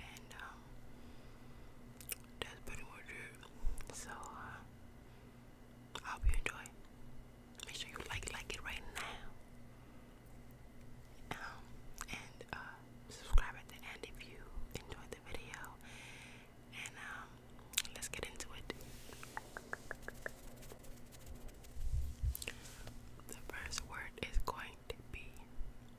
and um, that's pretty much it. So uh, I hope you enjoy. Make sure you like like it right now. Um, and uh, subscribe at the end if you enjoyed the video. And um, let's get into it. The first word is going to be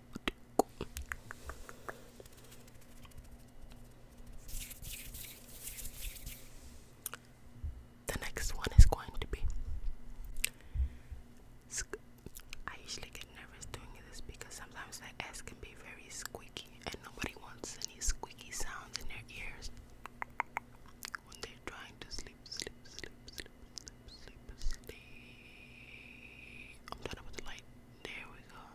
The next one is going to be. I usually get nervous doing this because sometimes the S can be very squeaky, and nobody wants any squeaky sounds in their ears when they're trying to sleep, sleep, sleep, sleep, sleep, sleep, I'm done with the light. There we go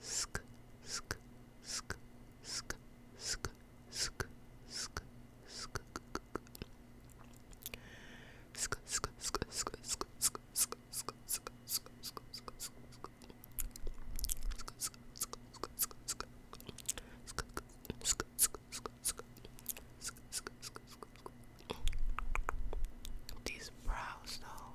sk sk sk sk sk sk sk sk these brows though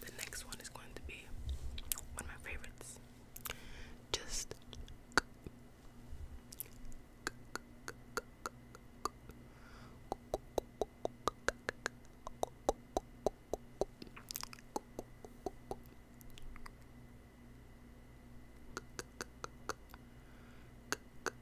The next one is going to be one of my favorites. Just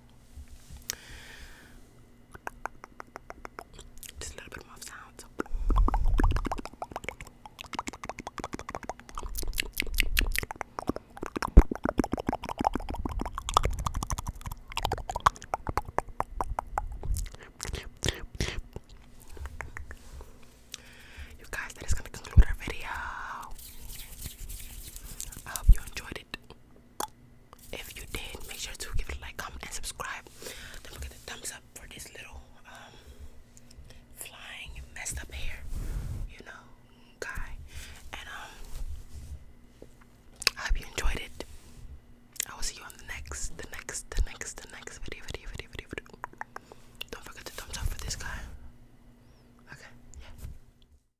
Just a little bit more sound. You guys, that is going to conclude our video. I hope you enjoyed it. If you did, make sure to give it a like, comment, and subscribe. Then we'll get thumbs up for this little um, flying messed up hair, you know, guy. And um I hope you enjoyed it. I will see you on the next, the next, the next, the next video, video, video, video, video. Don't forget to thumbs up for this guy. Okay, yeah.